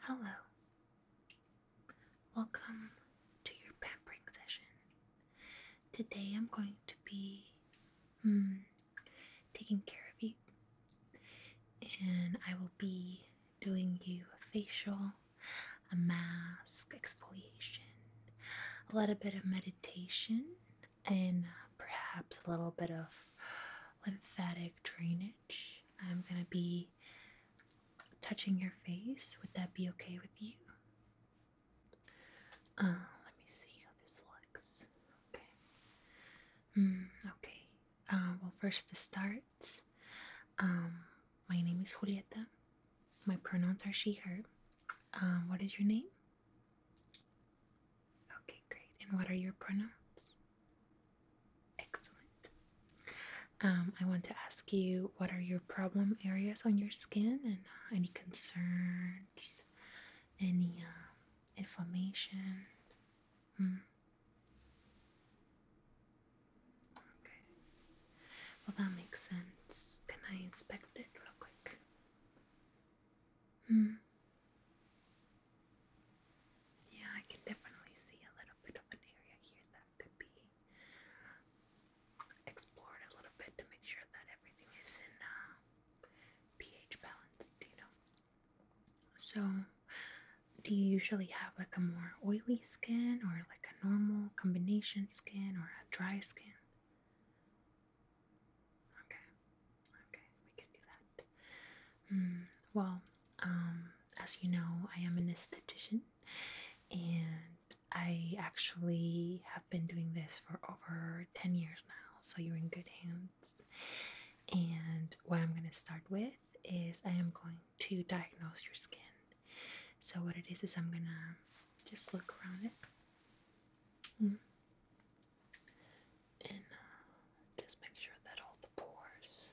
Hello. Welcome to your pampering session. Today I'm going to be hmm, taking care of you, and I will be doing you a facial, a mask, exfoliation, a little bit of meditation, and perhaps a little bit of lymphatic drainage. I'm going to be touching your face. Would that be okay with you? Uh, let me see how this looks. Okay. Mm, okay. Uh, well, first to start, um, my name is Julieta. My pronouns are she, her. Um, what is your name? Okay, great. And what are your pronouns? Excellent. Um, I want to ask you what are your problem areas on your skin and uh, any concerns, any um, inflammation? Hmm. Okay. Well, that makes sense. Can I inspect it real quick? Hmm. Yeah, I can definitely see a little bit of an area here that could be explored a little bit to make sure that everything is in uh, pH balanced, you know. So, do you usually have like a more oily skin or like a normal combination skin or a dry skin? Okay, okay, we can do that. Mm, well, um, as you know, I am an esthetician and I actually have been doing this for over 10 years now, so you're in good hands. And what I'm going to start with is I am going to diagnose your skin. So, what it is, is I'm going to just look around it. Mm. And uh, just make sure that all the pores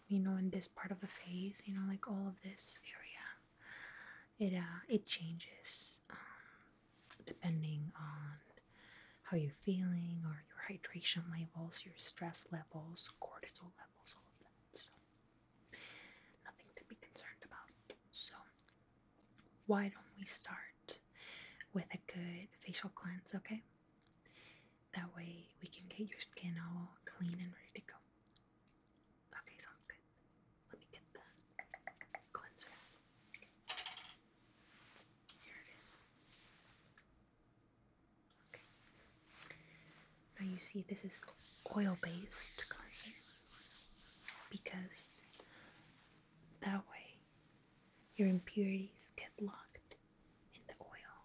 you know, in this part of the face, you know, like all of this area, it uh, it changes um, depending on how you're feeling or your hydration levels, your stress levels, cortisol levels, all of that. So nothing to be concerned about. So why don't we start with a good facial cleanse, okay? That way we can get your skin all clean and ready to go. Okay, sounds good. Let me get the cleanser. Here it is. Okay. Now you see this is oil-based cleanser because that way your impurities get locked in the oil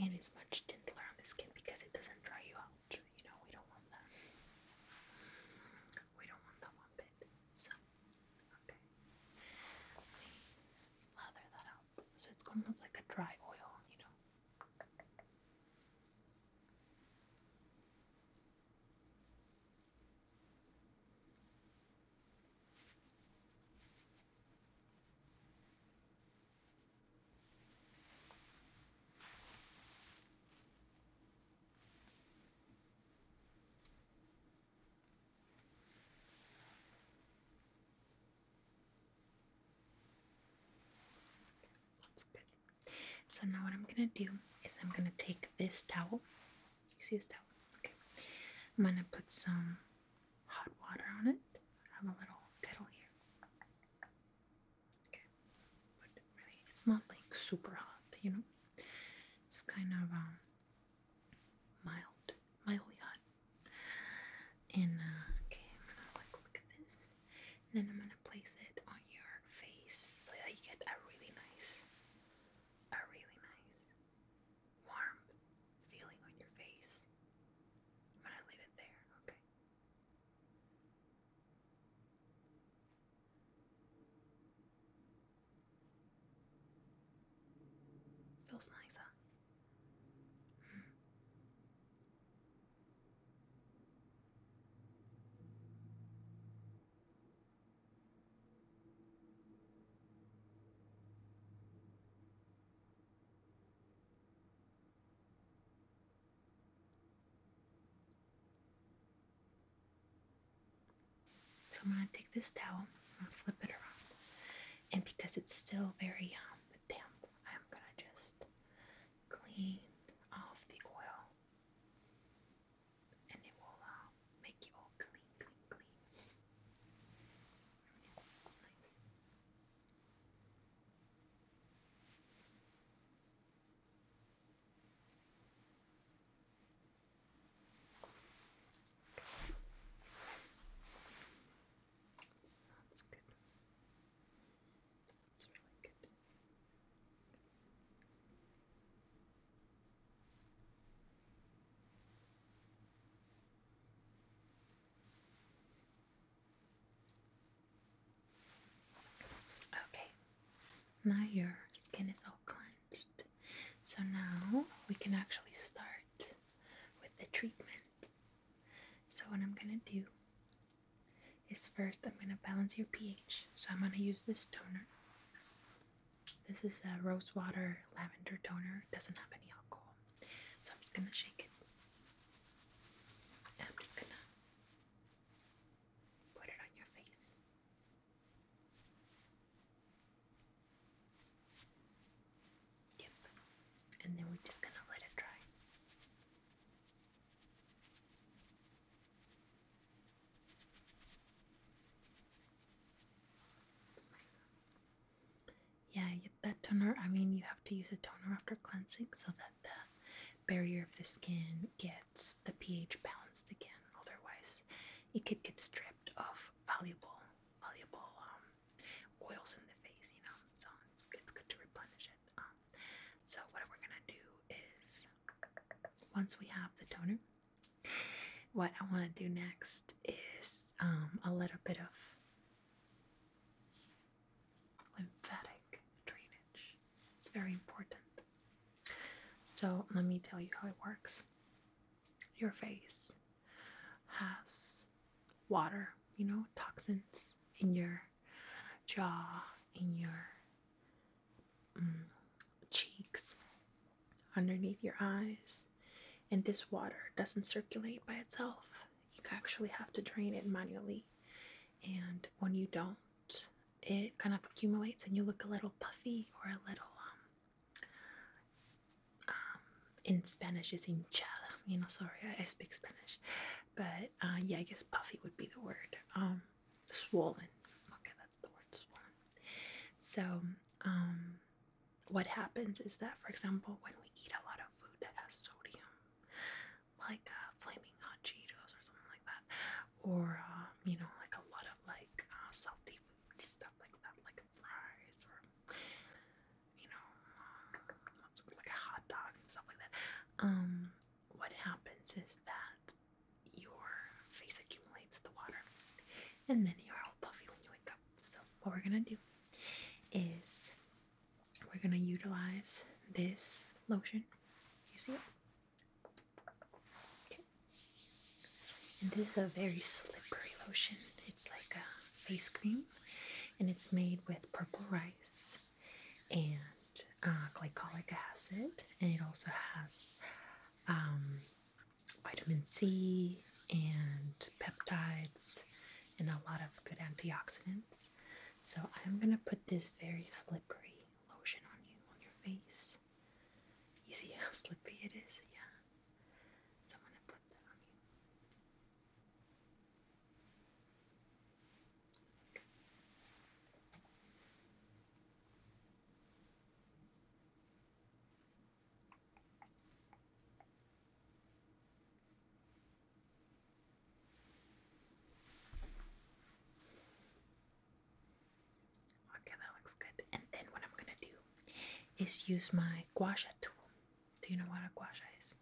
and is much gentler on the skin because it doesn't dry you out. You know, we don't want that. We don't want that one bit. So, okay. Let lather that up. So it's almost like a dry oil, you know. That's good. So now what I'm gonna do is I'm gonna take this towel. You see this towel? Okay. I'm gonna put some hot water on it. I have a little kettle here. Okay, it's not like super hot, you know. It's kind of um, mild, mildly hot. And uh, okay, I'm gonna like look at this, then I'm gonna place it on your face so that you get a really nice, a really nice warm feeling on your face. I'm gonna leave it there, okay? Feels nice, so I'm going to take this towel and flip it around. And because it's still very damp, I'm going to just clean off the oil. And it will uh, make you all clean, clean, clean. Everything nice. Sounds good. That's really good. Okay, now your skin is all cleansed. So now we can actually start with the treatment. So, what I'm gonna do is first, I'm gonna balance your pH. So, I'm gonna use this toner. This is a rose water lavender toner, it doesn't have any alcohol. So I'm just gonna shake it. I'm just gonna put it on your face. Yep. And then we're just gonna let it dry. Nice. Yeah, that toner, I mean, you have to use a toner after cleansing so that the barrier of the skin gets the pH balanced again. Otherwise, it could get stripped of valuable, valuable um, oils in the face, you know. So it's, good to replenish it. Um, so what we're gonna do is, once we have the toner, what I want to do next is um, a little bit of lymphatic drainage. It's very important. So, let me tell you how it works. Your face has water, you know, toxins in your jaw, in your mm, cheeks, underneath your eyes, and this water doesn't circulate by itself you actually have to drain it manually. And when you don't, it kind of accumulates and you look a little puffy or a little, um, um, in Spanish is hinchada. You know, sorry, I, I speak Spanish. But uh, yeah, I guess puffy would be the word. Um, swollen. Okay, that's the word swollen. So, um, what happens is that, for example, when we eat a lot of food that has sodium, like uh, flaming hot Cheetos or something like that, or uh, you know, like a lot of like uh, salty food stuff like that, like fries or you know, uh, like a hot dog and stuff like that. Um, what happens is that your face accumulates the water, and then you're all puffy when you wake up. So what we're gonna do is we're going to utilize this lotion. You see it? Okay. And this is a very slippery lotion. It's like a face cream and it's made with purple rice and uh, glycolic acid and it also has um, vitamin C and peptides and a lot of good antioxidants. So I'm going to put this very slippery lotion on you, on your face. You see how slippery it is? Yeah. I'm going to put that on you. Okay, that looks good. And then what I'm gonna do is use my gua sha tool. Do you know what a gua sha is?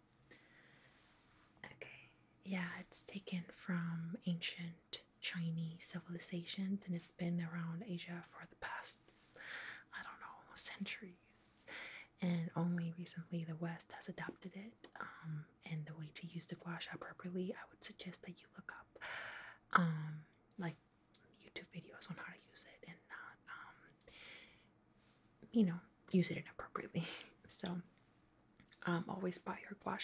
Okay, yeah, it's taken from ancient Chinese civilizations and it's been around Asia for the past, I don't know, centuries and only recently the West has adopted it. Um, and the way to use the guasha properly, I would suggest that you look up um, like YouTube videos on how to use it and not, um, you know, use it inappropriately. so, always buy your gua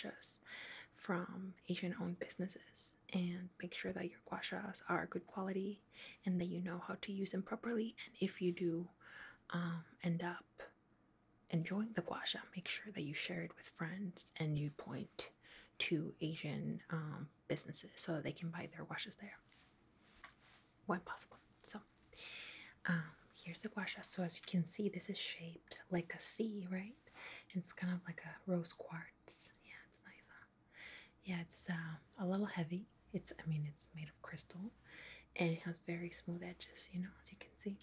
from Asian owned businesses and make sure that your gua are good quality and that you know how to use them properly. And if you do end up enjoying the gua make sure that you share it with friends and you point to Asian um, businesses so that they can buy their washes there when possible. So, um, here's the gua So, as you can see, this is shaped like a C, right? It's kind of like a rose quartz. Yeah, it's nice. Yeah, it's um, a little heavy. It's, I mean, it's made of crystal and it has very smooth edges, you know, as you can see.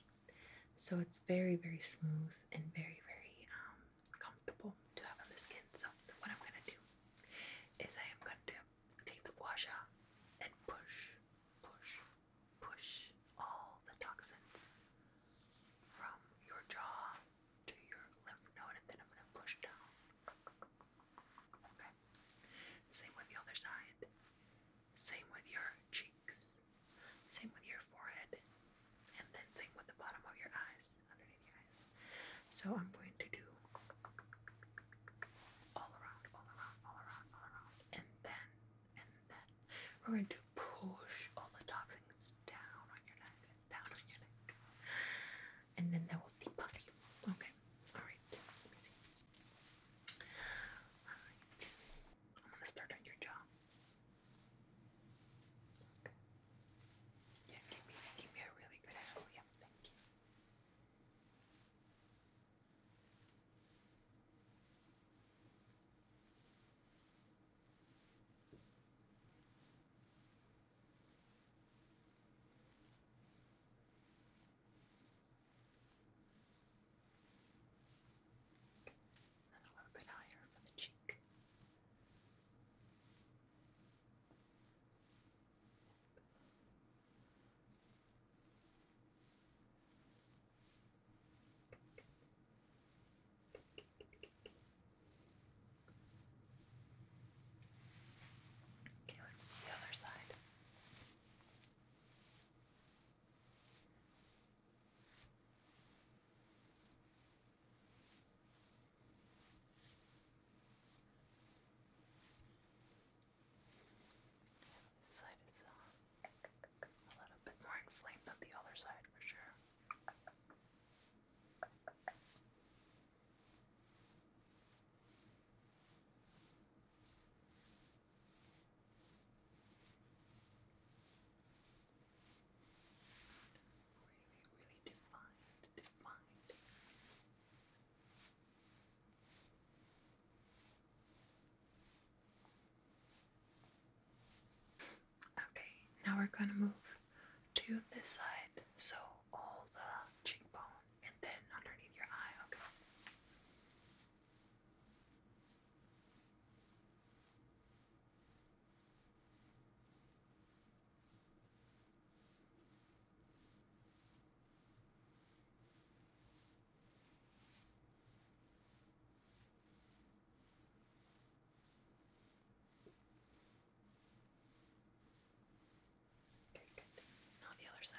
So it's very, very smooth and very, very um, comfortable to have on the skin. So, what I'm gonna do is I am gonna do, take the gua sha and push, push, push all the toxins from your jaw to your lymph node, and then I'm gonna push down. Same with the other side. Same with your cheeks. Same with your forehead. And then same with the bottom of your eyes, underneath your eyes. So I'm going to do all around, all around, all around, all around. And then, and then we're going to push all the toxins down on your neck, down on your neck. And then that will debuff you. Okay. Alright, let me see. Alright, I'm gonna start on your jaw. Yeah, give me, give me a really good angle. Yeah, thank you. And a little bit higher for the cheek. Okay, let's do the other side. This side is uh, a little bit more inflamed than the other side for sure. Okay, now we're going to move to this side. So, all the cheekbone and then underneath your eye, okay? Okay, good. Now the other side.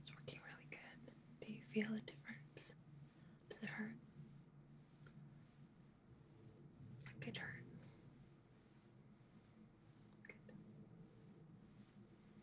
It's working really good. Do you feel a difference? Does it hurt? It hurt.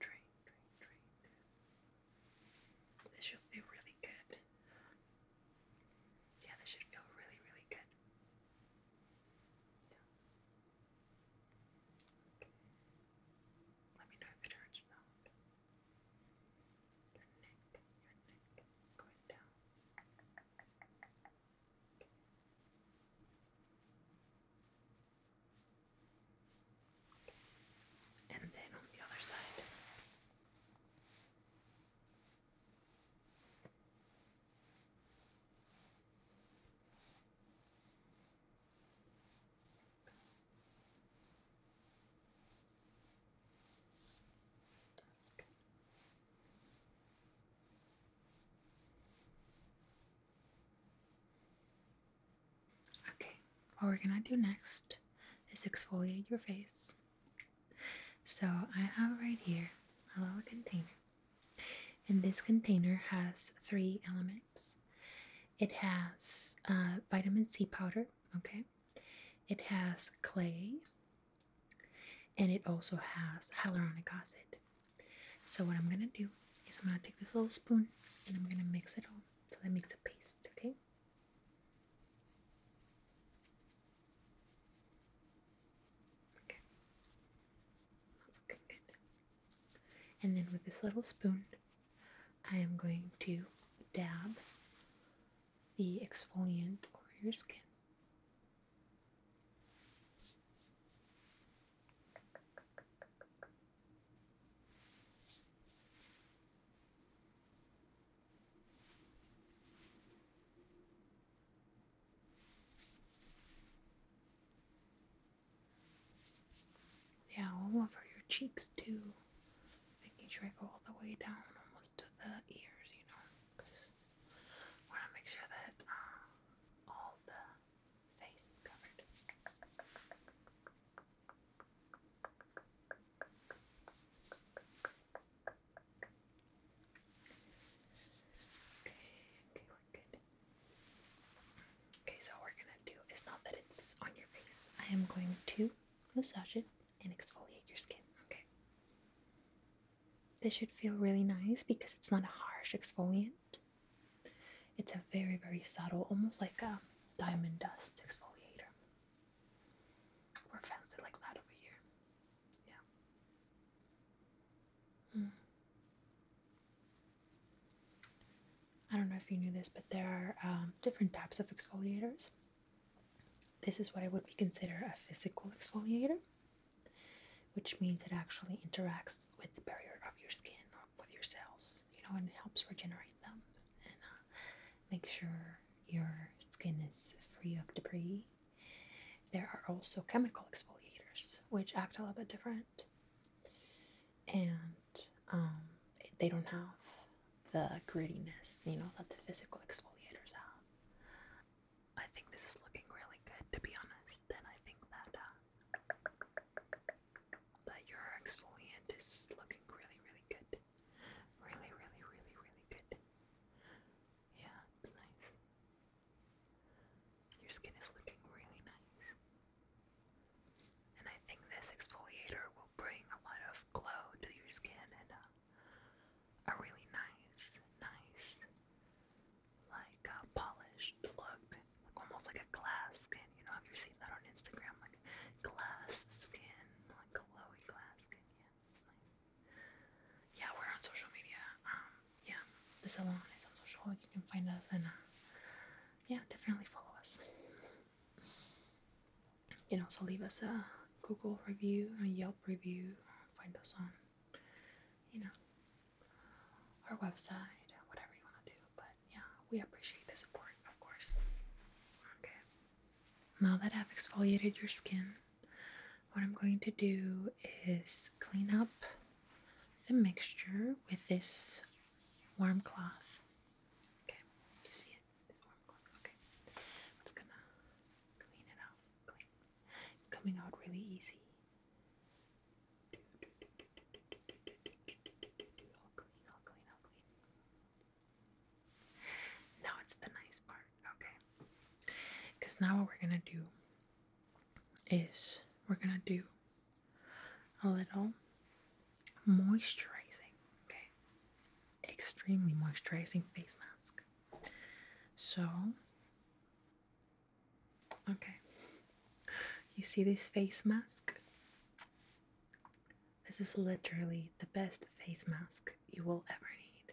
Drain, drain, This should feel really good. Yeah, this should feel really, really good. Let me know if it hurts or Your neck, your neck, going down and then on the other side. Okay, what we're gonna do next is exfoliate your face. So I have right here a little container, and this container has three elements. It has uh, vitamin C powder, okay? It has clay, and it also has hyaluronic acid. So what I'm gonna do is I'm gonna take this little spoon and I'm gonna mix it all so that makes a paste, okay? Okay. And then with this little spoon, I am going to dab the exfoliant over your skin. Yeah, all over your cheeks too. Making sure I go all the way down almost to the ears, you know. want to make sure that uh, all the face is covered. Okay, okay, we're good. Okay, so what we're gonna do is not that it's on your face. I am going to massage it and exfoliate your skin. Okay. This should feel really nice because it's not a harsh exfoliant. It's a very, very subtle, almost like a diamond dust exfoliator. We're fancy like that over here. Yeah. Hmm. I don't know if you knew this, but there are um, different types of exfoliators. This is what I would consider a physical exfoliator which means it actually interacts with the barrier of your skin or with your cells, you know, and it helps regenerate them and uh, make sure your skin is free of debris. There are also chemical exfoliators, which act a little bit different, and um, they don't have the grittiness, you know, that the physical exfoliators have. I think this is looking really good, to be honest then I think that uh, that your exfoliant is looking really, really good. Really, really, really, really good. Yeah, it's nice. Your skin is looking really nice. And I think this exfoliator will bring a lot of glow to your skin and uh, a really nice, nice like a polished look, like almost like a glass skin. You know, have you seen that on Instagram? Like glass skin, like glowy glass skin. Yeah, Yeah, we're on social media. Um, yeah, the salon is on social. You can find us and uh, yeah, definitely follow us. You can also leave us a Google review, a Yelp review. Find us on, you know, our website, whatever you want to do. But yeah, we appreciate the support, of course. Okay. Now that I've exfoliated your skin, what I'm going to do is clean up the mixture with this warm cloth. Okay, you see it? This warm cloth. Okay, i gonna clean it out. Clean. It's coming out really easy. Now it's the nice part, okay? Because now what we're gonna do is we're gonna do a little moisturizing, okay? Extremely moisturizing face mask. So Okay. You see this face mask? This is literally the best face mask you will ever need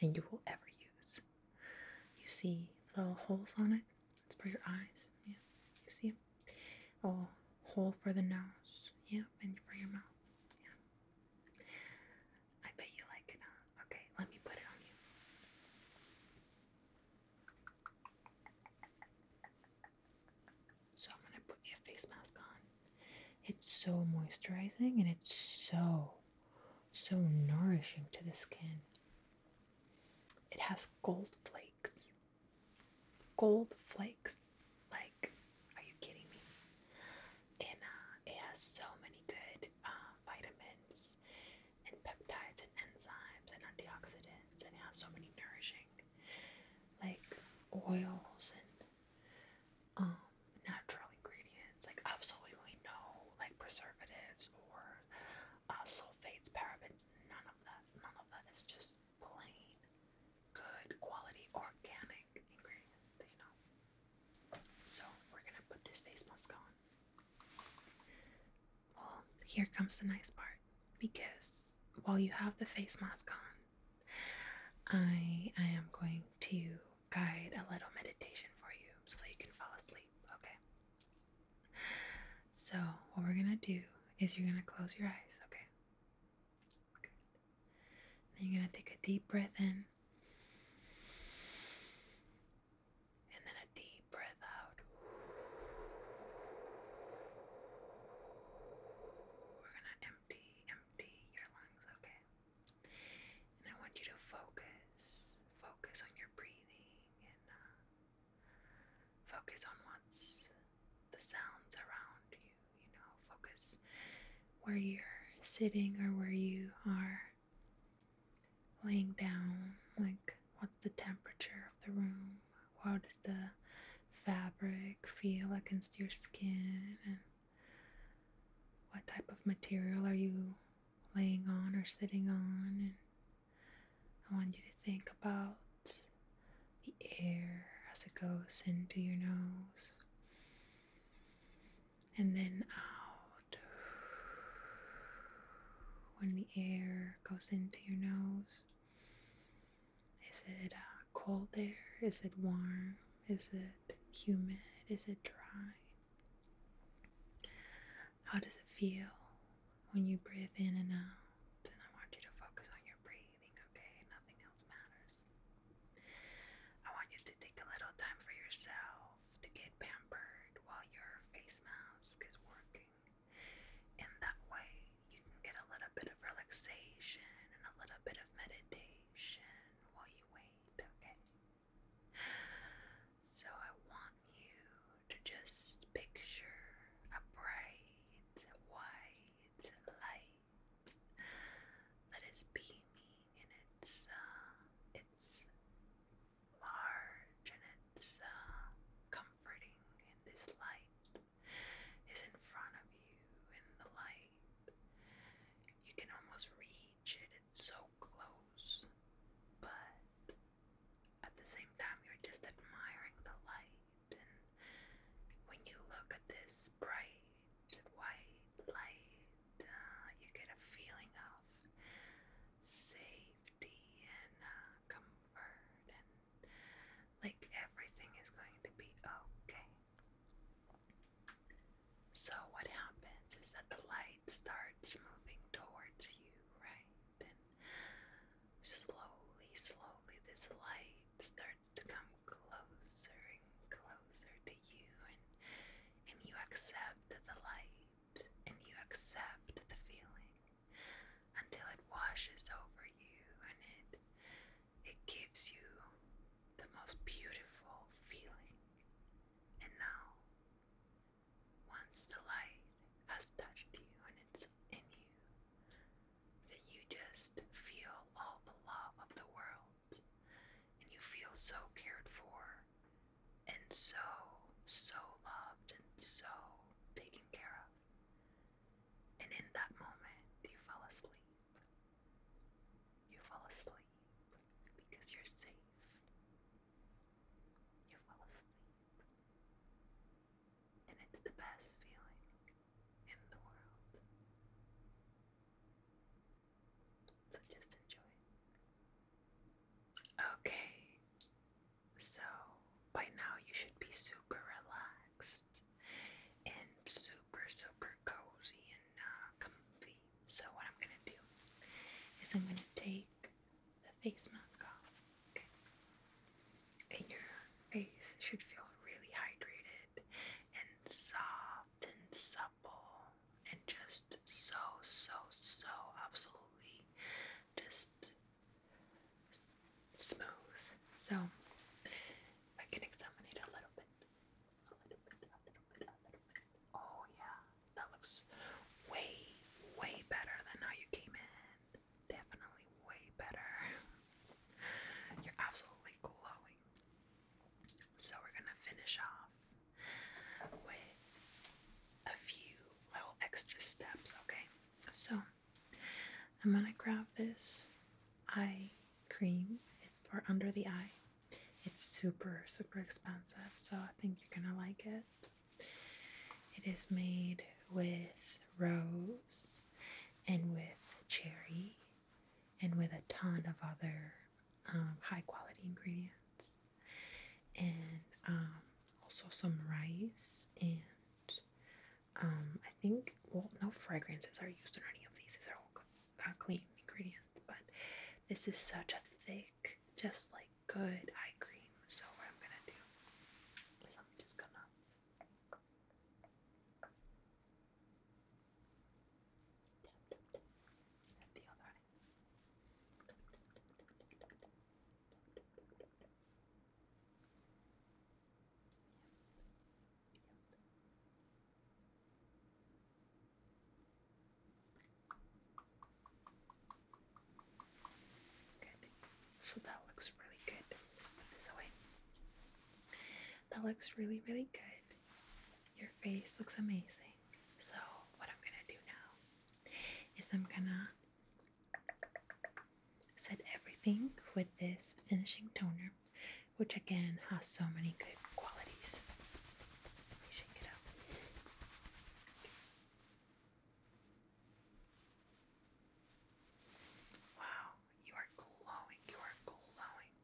and you will ever use. You see little holes on it? It's for your eyes. Yeah. You see it? Oh, hole for the nose. Yeah, and for your mouth. Yeah. I bet you like it, huh? Okay, let me put it on you. So I'm going to put your face mask on. It's so moisturizing and it's so, so nourishing to the skin. It has gold flakes. Gold flakes. Like, are you kidding me? And uh, it has so many good uh, vitamins and peptides and enzymes and antioxidants and it has so many nourishing like oils and um, natural ingredients like absolutely no like preservatives or uh, sulfates parabens none of that none of that is just plain good quality organic ingredients you know so we're gonna put this face mask on well, here comes the nice part because while you have the face mask on, I, I am going to guide a little meditation for you so that you can fall asleep, okay? So, what we're gonna do is you're gonna close your eyes, okay? Good. Then you're gonna take a deep breath in and then a deep breath out. We're gonna empty, empty your lungs, okay? And I want you to focus, focus on your breathing and uh, focus on what's the sounds around you, you know, focus where you're sitting or where you are laying down, like What's the temperature of the room? How does the fabric feel against your skin? And what type of material are you laying on or sitting on? I want you to think about the air as it goes into your nose and then out when the air goes into your nose? Is it uh, cold there? Is it warm? Is it humid? Is it dry? How does it feel when you breathe in and out? And I want you to focus on your breathing, okay? Nothing else matters. I want you to take a little time for yourself to get pampered while your face mask is working. In that way, you can get a little bit of relaxation and a little bit of meditation while you wait, okay? So I want you to just picture a bright white light that is beaming in its uh, its large and it's uh, comforting in this light is in front of you in the light. You can almost reach it, it's so close, but at the same time, you're just admiring the light. And when you look at this bright white light, uh, you get a feeling of safe and uh, comfort, and like everything is going to be okay. So, what happens is that the light starts moving towards you, right? And slowly, slowly, this light starts to come closer and closer to you, and, and you accept the light and you accept the feeling until it washes over you and it it gives you the most beautiful feeling. And now once the light has touched you and it's in you, then you just feel all the love of the world and you feel so cared for and so so loved and so taken care of. And in that moment, you fell asleep. You fell asleep because you're safe. You fell asleep. And it's the best feeling in the world. So just enjoy Okay, so, by now you should be super relaxed and super, super cozy and uh, comfy. So, what I'm gonna do is I'm gonna take the face mask off, And your face should feel really hydrated and soft and supple and just so, so, so absolutely just smooth. So I can examine it a little bit. A little bit, a little bit, a little bit. Oh yeah, that looks way, way better than how you came in. Definitely way better. You're absolutely glowing. So we're gonna finish off with a few little extra steps, okay? So I'm gonna grab this eye cream. It's for under the eye. It's super, super expensive, so I think you're gonna like it. It is made with rose and with cherry and with a ton of other um, high quality ingredients and um, also some rice and um, I think, well, no fragrances are used in any of these. These are all clean ingredients, but this is such a thick, just like good eye cream. So, what I'm gonna do is I'm just gonna. So that looks really good. Put this That looks really, really good. Your face looks amazing. So, what I'm gonna do now is I'm gonna Set everything with this finishing toner, which again has so many good qualities. Wow, you are glowing. You are glowing.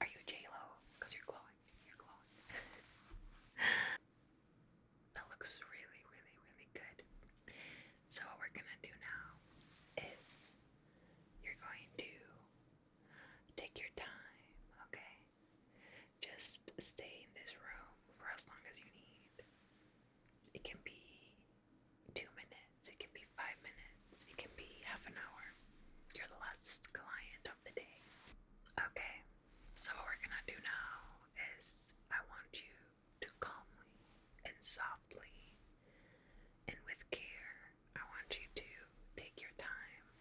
Are you J Lo? Because you're glowing. You're glowing. That looks really, really, really good. So, what we're gonna do now is you're going to take your time, okay? Just stay in this room for as long as you need. It can be two minutes, it can be five minutes, it can be half an hour. You're the last client of the day. Okay, so what we're gonna do now is I want you to calmly and softly and with care. I want you to take your time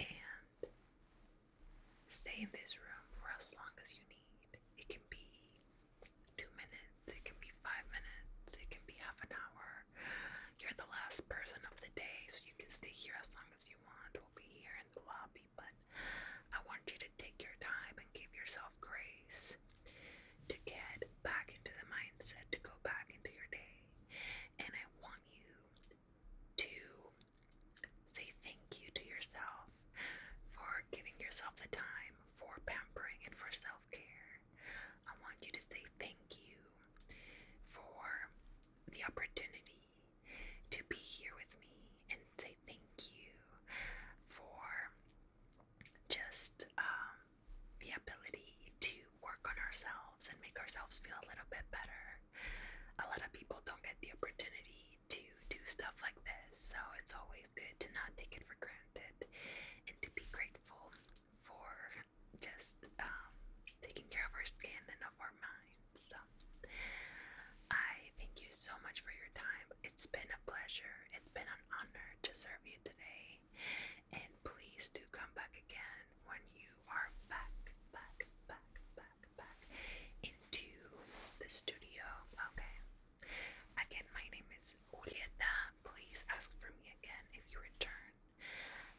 and stay in this room for as long as you need. It can be two minutes, it can be five minutes, it can be half an hour. You're the last person of the day, so you can stay here as long as you want. We'll be here in the lobby but I want you to take your time and give yourself grace to get back into the mindset, to go back into your day. And I want you to say thank you to yourself for giving yourself the time for pampering and for self care. I want you to say thank you for the opportunity to be here with me and say thank you for just um, the ability to work on ourselves and make ourselves feel a little bit better. A lot of people don't get the opportunity to do stuff like this, so it's always good to not take it for granted and to be grateful for just um, taking care of our skin and of our mind. So I thank you so much for your time. It's been a pleasure. It's been an honor to serve you today. And please do come back again when you are back, back, back, back, back into the studio. Okay. Again, my name is Julieta. Please ask for me again if you return.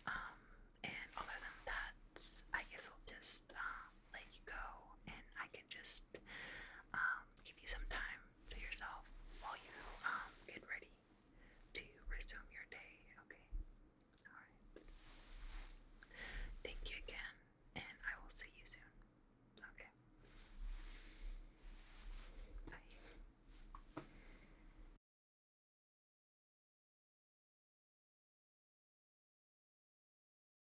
Um, and other than that, I guess I'll just um, let you go, and I can just um, give you some time to yourself while you um, get ready to resume your day. Okay. All right. Thank you again, and I will see you soon. Okay. Bye.